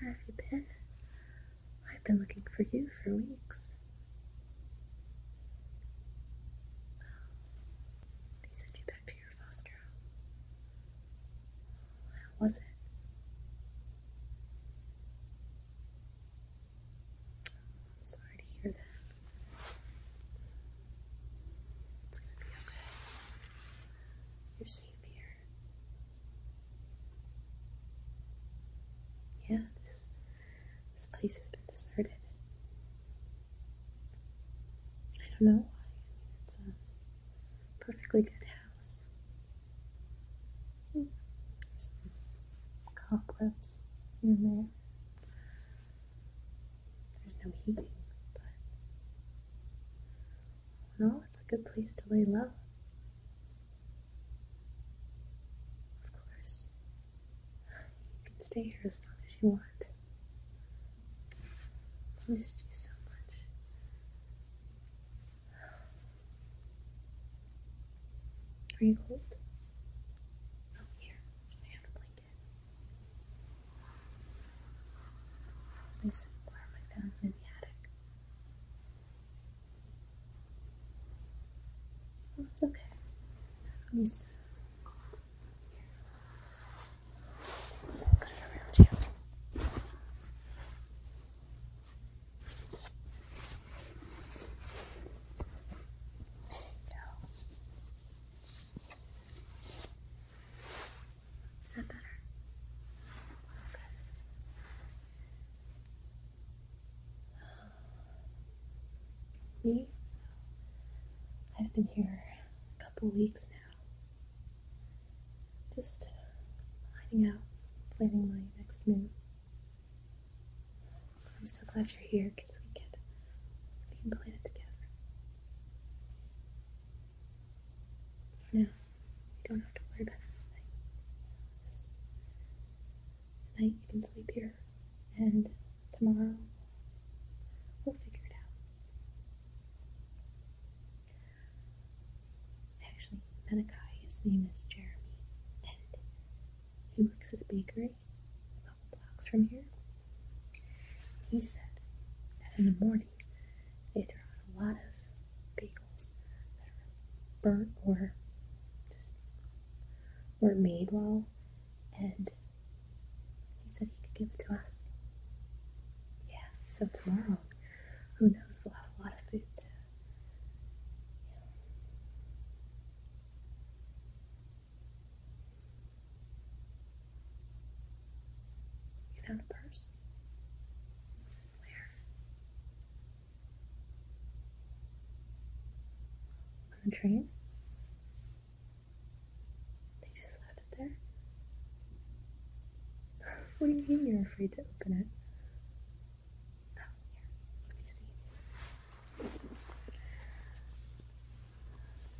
Where have you been? I've been looking for you for weeks. They sent you back to your foster home. How was it? sorry to hear that. It's gonna be okay. You're safe. Yeah, this this place has been deserted. I don't know why. it's a perfectly good house. Hmm. some cobwebs here and there. There's no heating, but well, it's a good place to lay low. Of course, you can stay here as long as you want. i missed you so much. Are you cold? Oh, here, I have a blanket. It's nice and warm like that in the attic. it's okay. I'm used to it. Put it around you. There you go. Is that better? Me? I've been here a couple weeks now. Just hiding out, planning my next move. I'm so glad you're here because we can, we can plan it together. No, you don't have to worry about anything. Just tonight you can sleep here, and tomorrow we'll figure it out. Actually, Menakai, his name is Jeremy, and he works at a bakery blocks from here. He said that in the morning they throw out a lot of bagels that are burnt or just were made well, and he said he could give it to us. Yeah, so tomorrow, who knows, we'll have a lot of food you found a purse? Where? On the train? They just left it there? what do you mean you're afraid to open it? Oh, here. Let me see.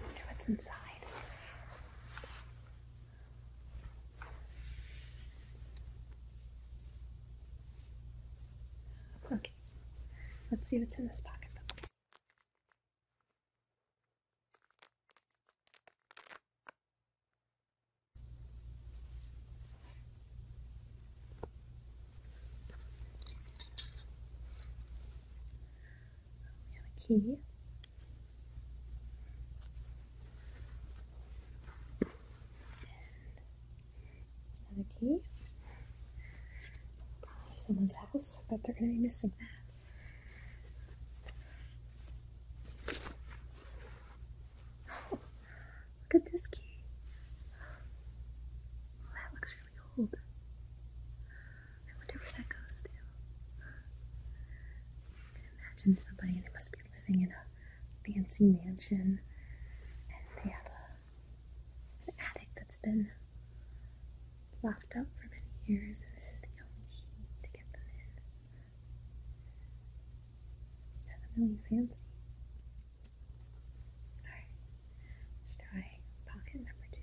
Wonder what's inside. Okay, let's see what's in this pocket. We have a key. another key. Probably someone's house. I bet they're going to be missing that. Look at this key. that looks old. I wonder where that goes to. imagine somebody, must be living in a fancy mansion and they have an attic that's been locked up for many years this is the only key to get them in. It's not fancy. Alright, Let's try pocket number two.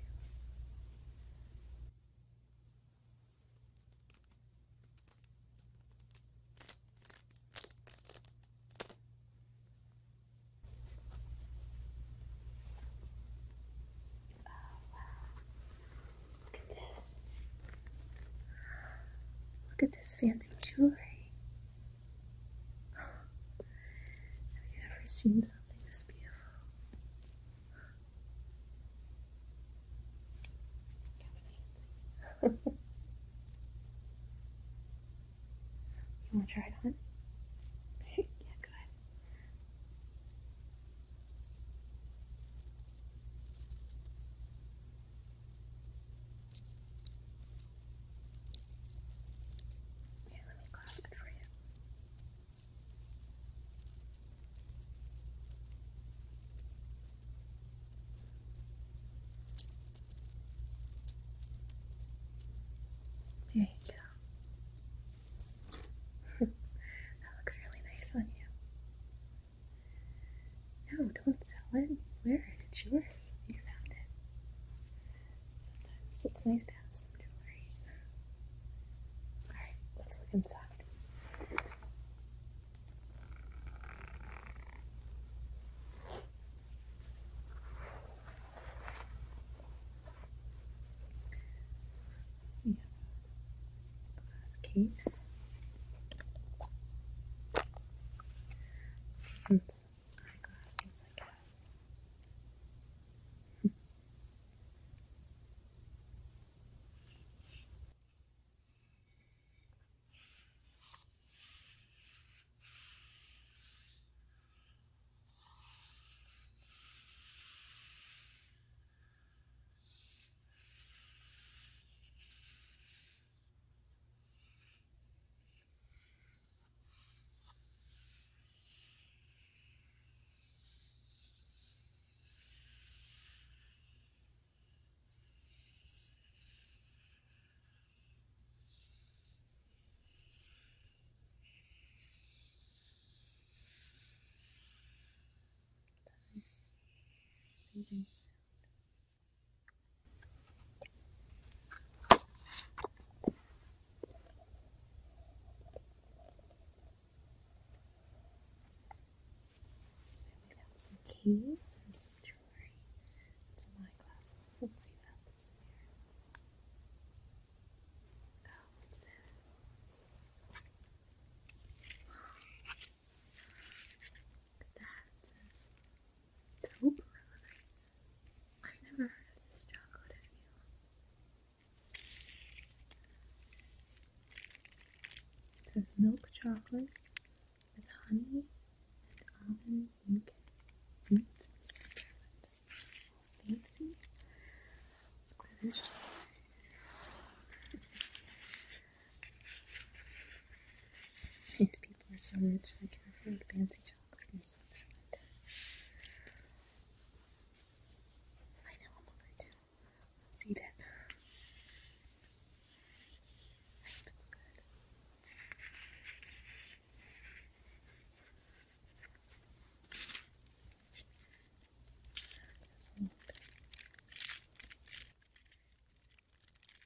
Oh wow. Look at this. Look at this fancy jewelry. Have you ever seen something this beautiful? you want to try it on? yeah, go ahead. Here, let me clasp it for you. There you go. that looks really nice on you. No, don't sell it. Wear it. It's yours. You found it. Sometimes it's nice to have some jewelry. Alright, let's look inside. We have a glass case eyeglasses, I guess. That nice soothing sound some keys and some jewelry and some eyeglasses. Let's see in here. Oh, what's this? Look at that. Taupe I've never heard of this chocolate, It says milk chocolate with honey and almond milk. Beans from Switzerland. Fancy. Look at this. Its people are so rich I can afford fancy chocolate in Switzerland. I know I'm hungry too. Let's eat good.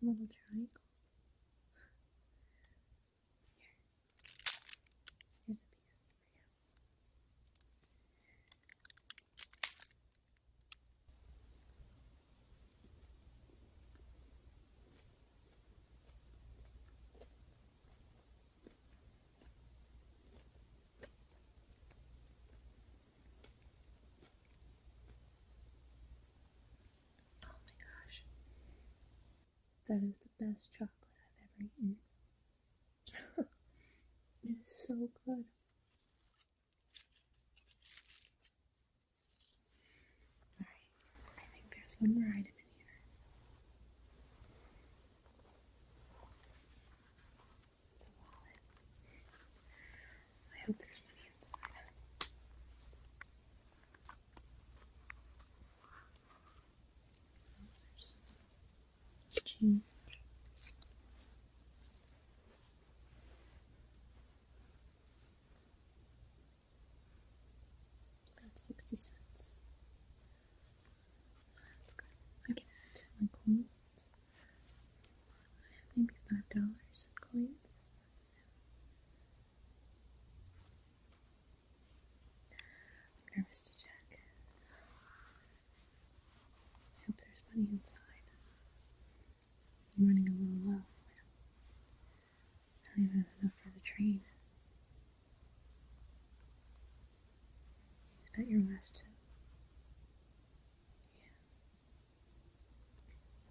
Some little triangles. Here. Here's a piece for you. Oh my gosh. That is the best chocolate I've ever eaten. it is so good. Alright, I think there's one more item in here. It's a wallet. I hope there's money inside. There's some change. About 60 cents. That's good. I can add to my coins. I have maybe $5 in coins. I'm nervous to check. I hope there's money inside. I'm running a little low. I don't even have enough for the train. Is that your last tip? Yeah.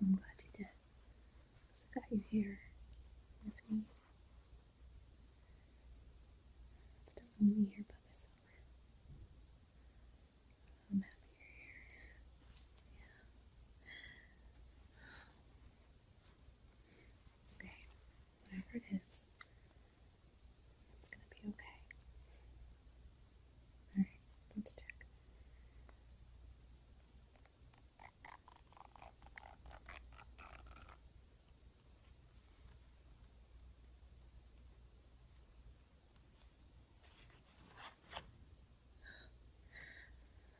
I'm glad you did. Because I got you here with me. It's still lonely here by myself. I'm happy you're here. Yeah. Okay, whatever it is, it's gonna be okay. Alright, let's check.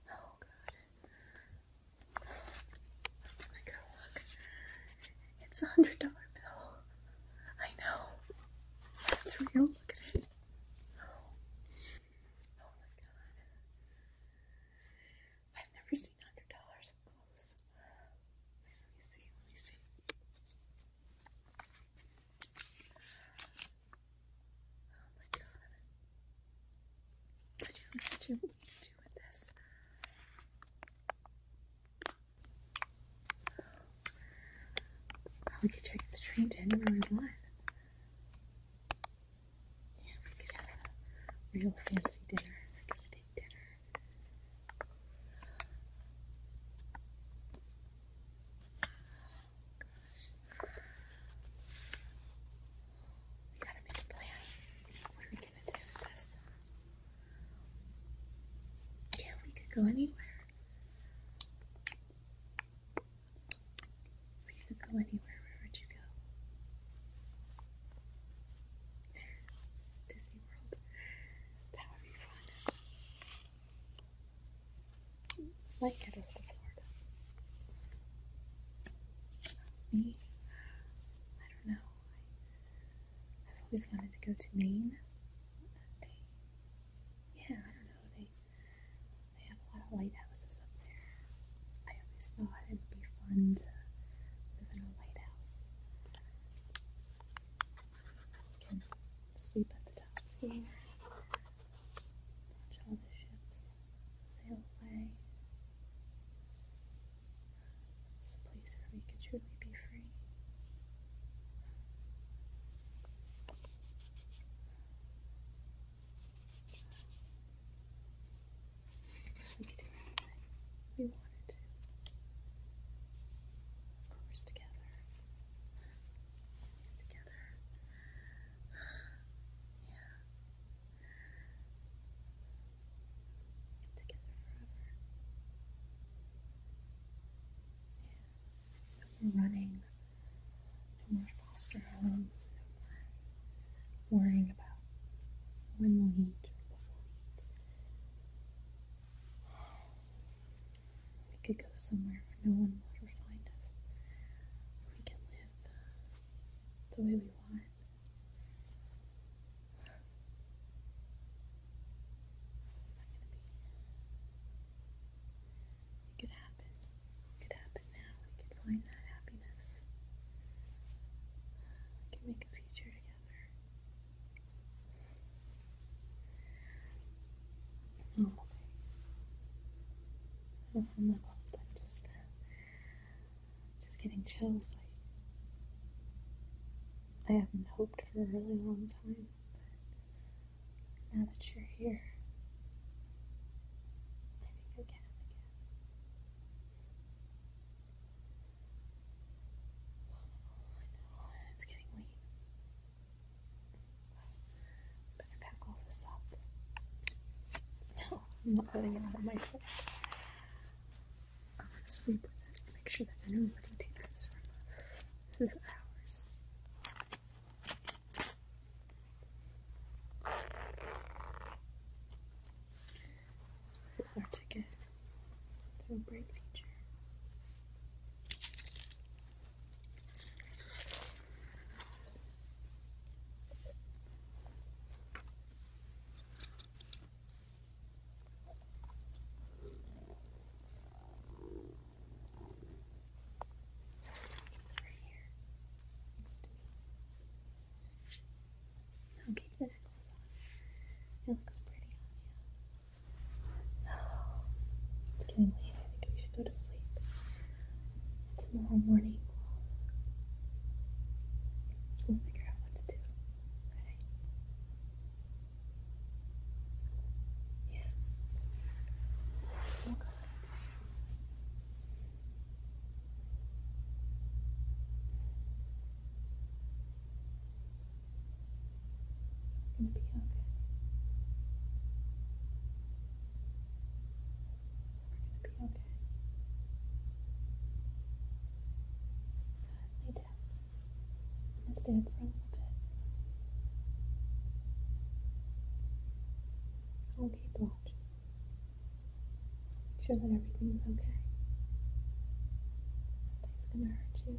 Oh god. Oh my god, look. It's a hundred dollar bill. I know. That's real. Look at it. Oh. my god. I've never seen hundred dollars up close. Let me see, let me see. Oh my god. Could you imagine what we could do with this? we could take the train to anywhere we want. Yeah, we could have a real fancy dinner, like a steak dinner. We gotta make a plan. What are we gonna do with this? Yeah, we could go anywhere. We could go anywhere. Where would you go? Disney World. That would be fun might get to Florida. Me, I don't know. I, have always wanted to go to Maine. yeah, I don't know. They they have a lot of lighthouses up there. I always thought it would be fun to live in a lighthouse. can sleep at the top floor. Watch all the ships sail away. It's place where we can truly be free. We wanted to. Of course, together together. yeah. Together forever. Yeah. running. No more foster homes. No worrying about when we'll eat. We could go somewhere where no one will ever find us. We can live uh, the way we want. It's not going to be. It could happen. It could happen now. We could find that happiness. We can make a future together normal day. I'm just, uh, just getting chills. I, I haven't hoped for a really long time, but now that you're here, I I can oh, it's getting late. But I can this up. No, I'm not letting it out of my sight. I'm gonna sleep with it and make sure that nobody takes this from us. This is ours. This is our ticket to a bright future right here next to me. I'll keep the necklace on. It looks pretty on you. Oh, it's getting late. I think we should go to sleep. And tomorrow morning, we'll figure out what to do. Okay? Yeah. we oh, you're gonna be okay. We're gonna be okay. Lay down. I'm gonna stand for a little bit. I'll keep watching. Make sure that everything's okay. Nothing's gonna hurt you.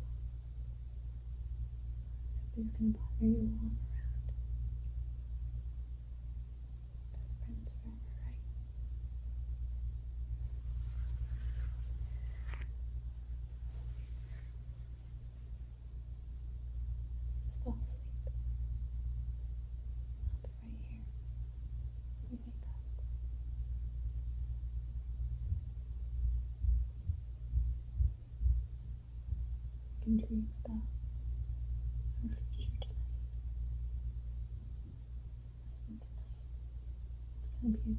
Nothing's gonna bother you all around. Best friends forever, right? Just fall asleep. I'll be right here. 있습니다. can dream about our future tonight. tonight, it's gonna be a good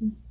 -hmm.